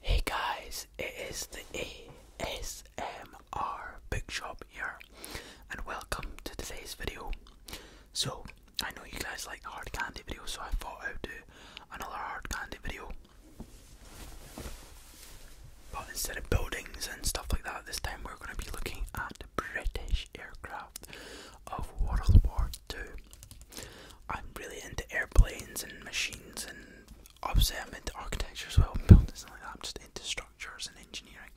Hey guys, it is the ASMR Big Shop here, and welcome to today's video. So, I know you guys like hard candy videos, so I thought I would do another hard candy video. But instead of buildings and stuff like that, this time we're going to be looking at British aircraft of World War II. I'm really into airplanes and machines and obviously I'm into architecture as well and buildings and like that. I'm just into structures and engineering.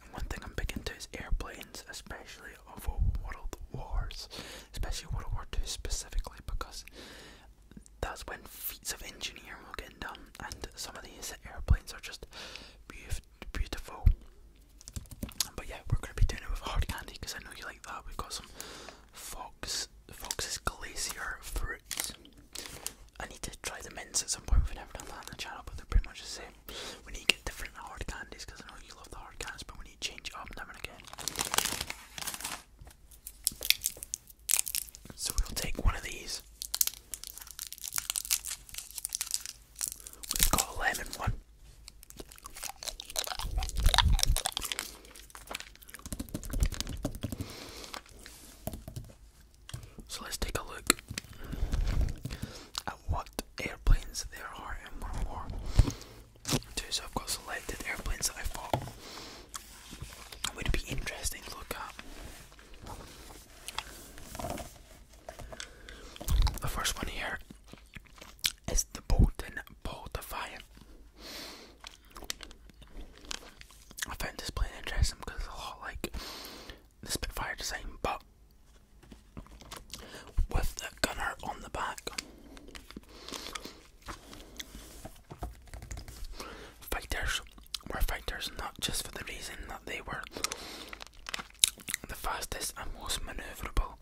And one thing I'm big into is airplanes, especially of World Wars, especially World War Two specifically, because that's when feats of engineering were getting done. And some of these airplanes are just beautiful. But yeah, we're gonna be doing it with hard candy because I know you like that. We've got some Fox Fox's Glacier fruit. I need to try the mints at some point. We've never done that on the channel, but they're pretty much the same. We need to get different hard candies because I know you love the hard candies, but we need to change it up now and again. So we'll take one of these. We've got a lemon one. So let's take a look at what airplanes there are in World War Two. I've got selected airplanes that I thought would be interesting look at. The first one here is the Bolton Ball Defiant. I found this plane interesting because it's a lot like the Spitfire design, but with the gunner on the back. Fighters were fighters not just for the reason that they were the fastest and most manoeuvrable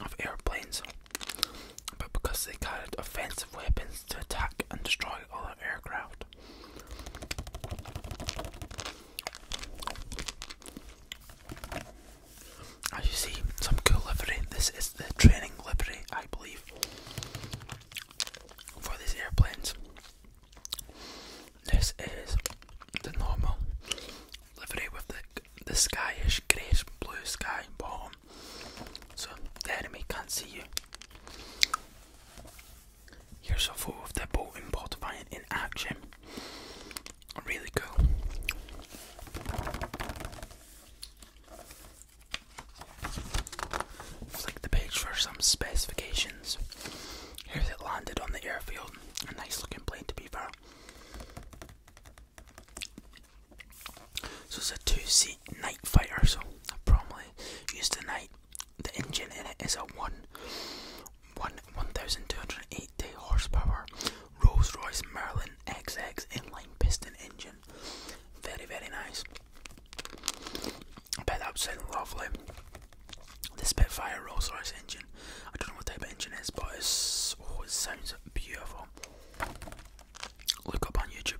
of airplanes, but because they carried offensive weapons to attack and destroy other aircraft. As you see, some cool livery. This is the training livery, I believe, for these airplanes. This is the normal livery with the the skyish grey blue sky bottom so the enemy can't see you. Here's a photo of that boat and pot in action. Really cool. Flick the page for some specifications. Here's it landed on the airfield. A nice looking plane to be fair. So it's a two-seat night fighter, so I probably used the night. The engine in it is a one, day horsepower Rolls-Royce Merlin XX inline piston engine. Very, very nice. I bet that would lovely. The Spitfire Rolls-Royce engine. I don't know what type of engine it is, but oh, it sounds beautiful look up on YouTube.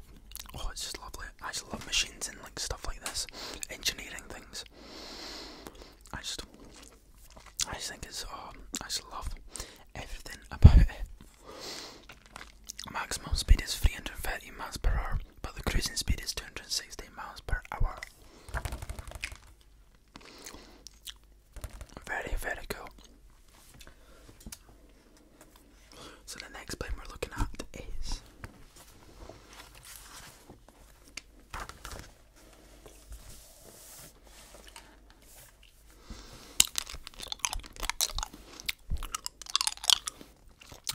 Oh, it's just lovely. I just love machines and like stuff like this, engineering things. I just, I just think it's. Um, I just love everything about it. Maximum speed is 330 miles per hour, but the cruising speed is 260 miles per hour. Very, very cool. So the next plane we're looking at is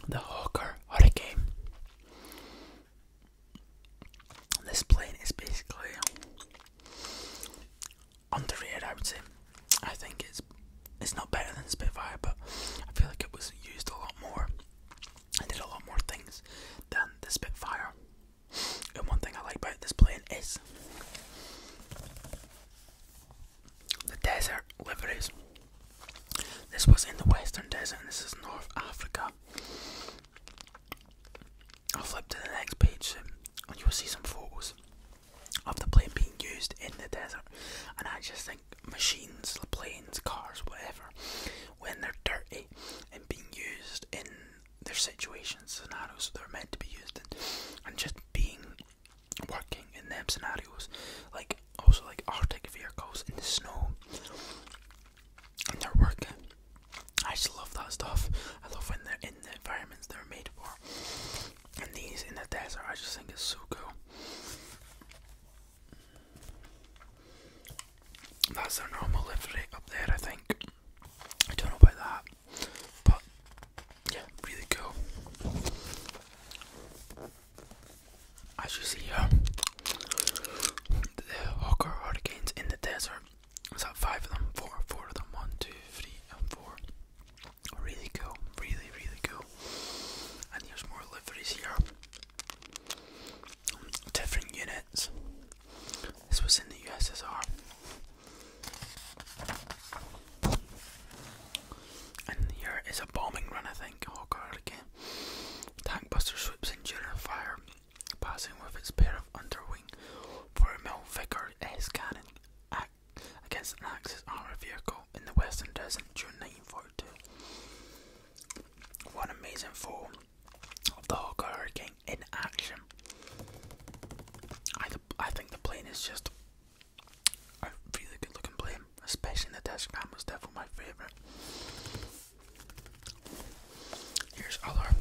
the Hawker Hurricane. This plane is basically underrated. I would say. I think it's it's not better than Spitfire, but I feel like it was used a lot more. I did a lot more things than the Spitfire. And one thing I like about this plane is the desert liveries. This was in the Western Desert, this is North Africa. I'll flip to the next page, and you'll see some photos of the plane being used in the desert. And I just think machines, planes, cars, whatever, when they're dirty and being used in their situations, scenarios they're meant to be used in, and just being working in them scenarios, like also like Arctic vehicles in the snow, and they're working. I just love that stuff. I love when they're in the environments they're made for. And these in the desert, I just think it's so cool. That's their normal lift rate up there, I think. I don't know about that, but yeah, really cool. As you see the Hawker Hurricanes in the desert. Was that five of them? Four, four of them. One, two, three, and four. Really cool, really, really cool. And here's more liveries here. Different units. This was in the USSR. And here is a bombing run, I think. Oh god, again. Tankbuster swoops in during a fire, passing with its pair of underwing for a Mill against an Axis armoured vehicle in the Western Desert during 1942. One amazing form of the Hawker Hurricane in action. I, I think the plane is just a really good looking plane, especially the dash cam was definitely my favourite. Here's other.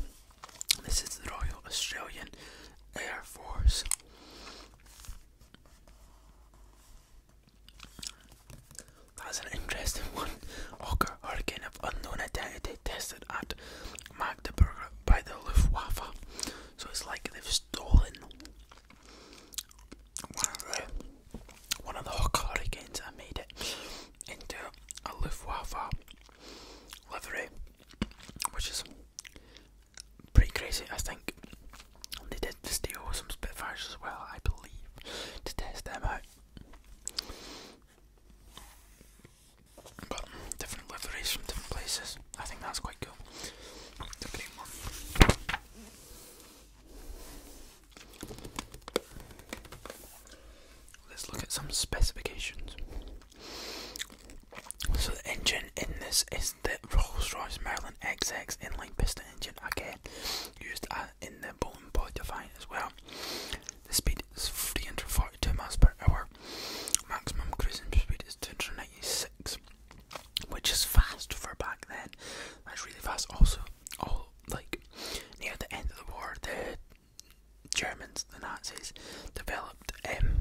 This is the Royal Australian Air Force. That's an interesting one. Occur hurricane of unknown identity tested at Magdeburg by the Luftwaffe. So it's like they've stolen one of the one of and made it into a Luftwaffe livery, which is pretty crazy. I think they did this deal with some Spitfires as well, I believe, to test them out. But different liveries from different places. I think that's quite cool. Let's look at some specifications. So the engine in this is the Rolls-Royce Merlin XX inline piston engine, again used uh, in the Bolton Body Define as well. The speed is 342 miles per hour. Maximum cruising speed is 296, which is fast for back then. That's really fast. Also, all like near the end of the war, the Germans, the Nazis, developed um,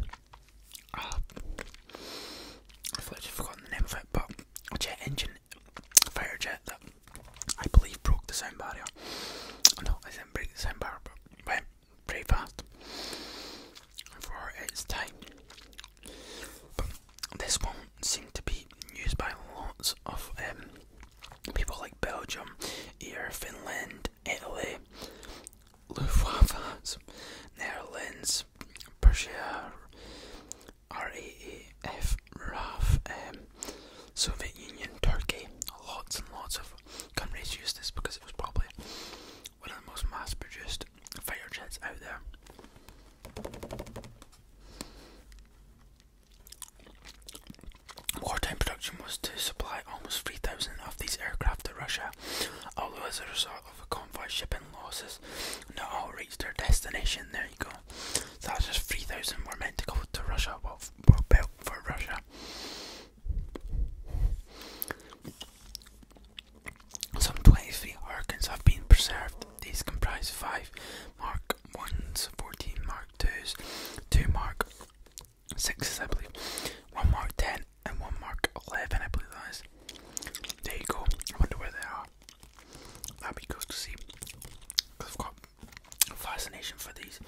uh, oh. I've literally forgotten the name of it, but a jet engine, a fire jet that I believe broke the sound barrier. Oh, no, I didn't break the sound barrier, but it went pretty fast for its time. this one seems to be used by lots of um, people like Belgium, here, Finland, Italy, Lufthansa, Netherlands, Persia, RAAF, RAF, um, Soviet Union, Turkey. Lots and lots of countries used this because it was probably one of the most mass produced fighter jets out there. War time production was to supply almost 3,000 of these aircraft to Russia, although as a result, of a convoy shipping losses not all reached their destination. There you go. So that's just 3,000 were meant to go to Russia, well, well built for Russia. Some 23 Hurricanes have been preserved. These comprise 5 Mark 1s, 14 Mark 2s, 2 Mark 6s I believe, 1 Mark 10 and one mark 11, I believe There you go. I wonder where they are. That'd be good to see. I've got fascination for these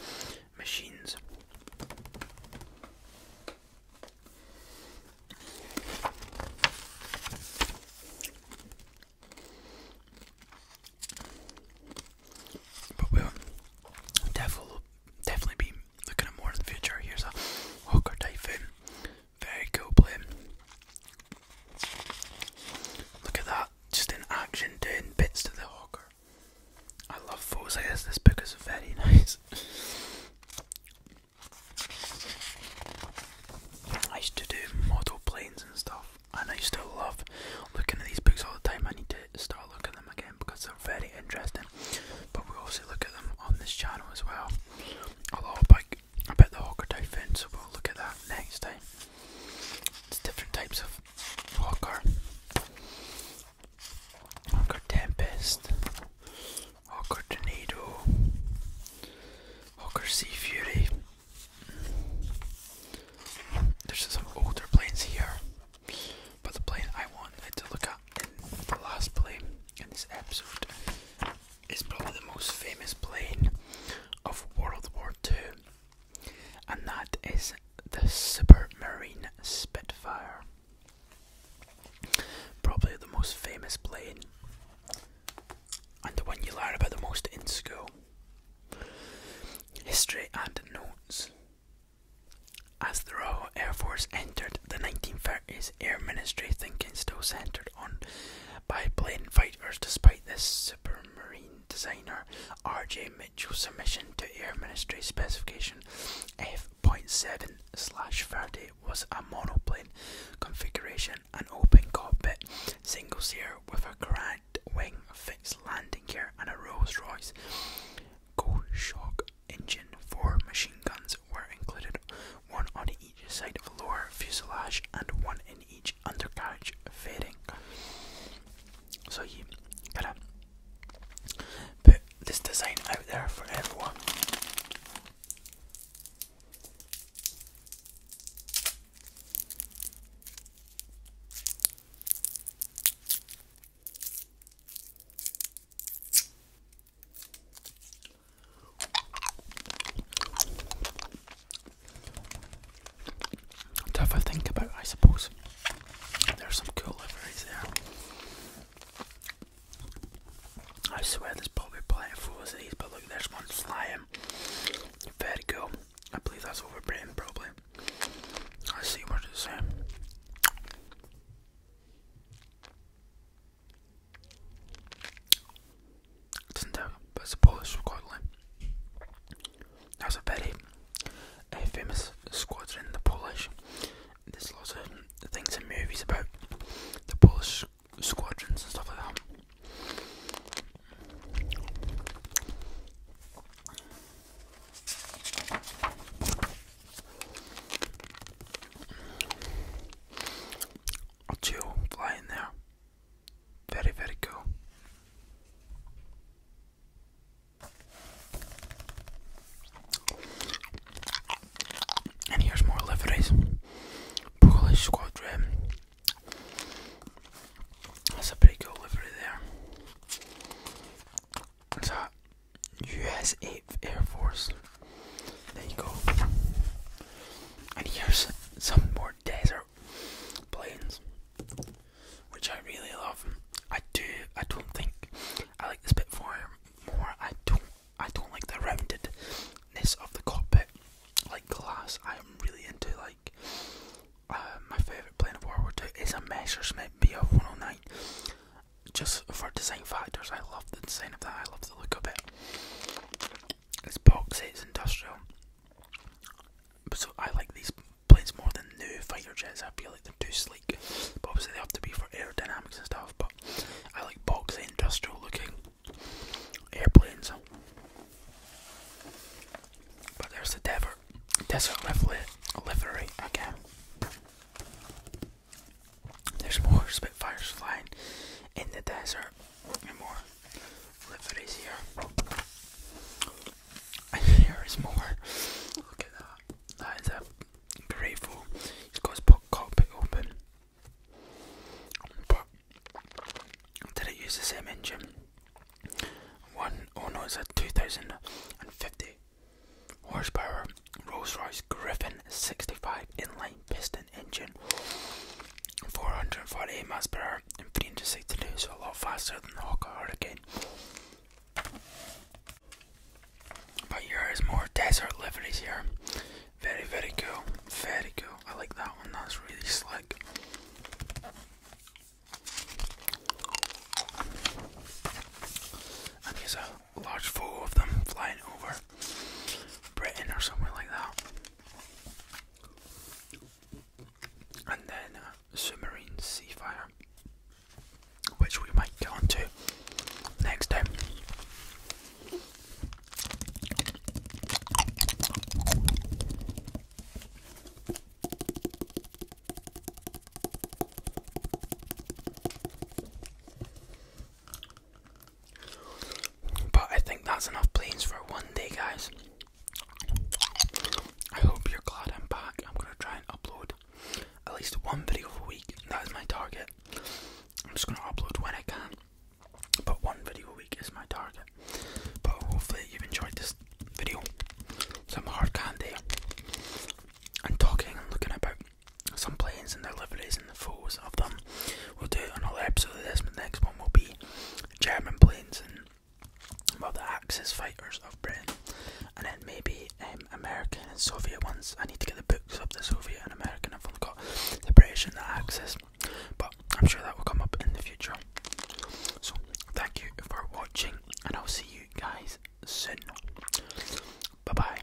machines. But we'll definitely, definitely be looking at more in the future. Here's a Hawker Typhoon very cool play. Look at that, just in action doing bits to the hawker. I love those. I guess this book is very nice. I used to do model planes and stuff, and I still love looking at these books all the time. I need to start looking at them again because they're very interesting. But we also look at them on this channel as well. Although I bet, I bet the Hawker fence, we'll look at that next time. different types of Hawker. Hawker Tempest, Hawker Tornado, Hawker Sea Fury. There's some older planes here, but the plane I wanted to look at in last plane in this episode is probably the most famous plane of World War II, and that is the Supermarine Spitfire. Probably the most famous plane, and the one you learn about the most in school. History and notes. As the Royal Air Force entered the 1930s, Air Ministry thinking still centered on by plane fighters, despite this supermarine designer R.J. Mitchell's submission to Air Ministry specification F.7 slash 30 was a monoplane configuration, an open cockpit, single sear with a cracked wing, fixed landing gear, and a Rolls Royce. Go shock engine, four machine guns were included, one on each side of the lower fuselage and one in each undercarriage fairing. So you gotta put this design out there for everyone. To have a think about, it. I suppose. There's some cool liveries there. I swear there's probably plenty of photos of these, but look, there's one flying. Very cool. I believe that's over probably. I see what it's saying. It doesn't Polish squadron. There's a very famous squadron, in the Polish. There's lots of things and movies about the Polish squadrons and stuff like that or two flying there. Very, very cool. And here's more liveries. Polish Squadron. That's a pretty cool livery there. It's a US Air Force there you go. And here's some more desert plains, which I really love. I do. I don't think I like this bit more. More. I don't. I don't like the roundedness of the cockpit, like glass. I am really into like. Uh, my favourite plane of World War II is a Messerschmitt Bf 109. Just for design factors, I love the design of that. I love look of it. It's boxy, industrial. so I like these planes more than new fighter jets. I feel like they're too sleek. But obviously they have to be for aerodynamics and stuff. But I like boxy, industrial looking airplanes. But there's the desert, desert livery, livery there's more Spitfires flying in the desert, and more liveries here. And here is more. Look at that. That is a grateful. He's got his cockpit open. did it use the same engine? One, oh no, it's a 2050 horsepower Rolls Royce Griffin 65 inline piston engine, 448 miles per hour and 362, so a lot faster than the Hawker Hurricane. But here is more desert liveries here. Very, very cool. Very cool. I like that one. That's really slick. And here's a large photo of them flying over. Britain or somewhere like that. And then uh, submarine sea fire, which we might get onto next time. But I think that's enough planes for one day, guys. I hope you're glad I'm back. I'm gonna try and upload at least one video a week. That is my target. I'm just gonna upload when I can. But one video a week is my target. But hopefully you've enjoyed this video. Some hard candy and talking and looking about some planes and their liveries and the photos of them. We'll do it on another episode of this, the next one will be German planes and well, the Axis fighters of Britain, and then maybe um, American and Soviet ones. I need to get the books of the Soviet and American. I've only got the British and the Axis, but I'm sure that will come up in the future. So, thank you for watching, and I'll see you guys soon. Bye bye.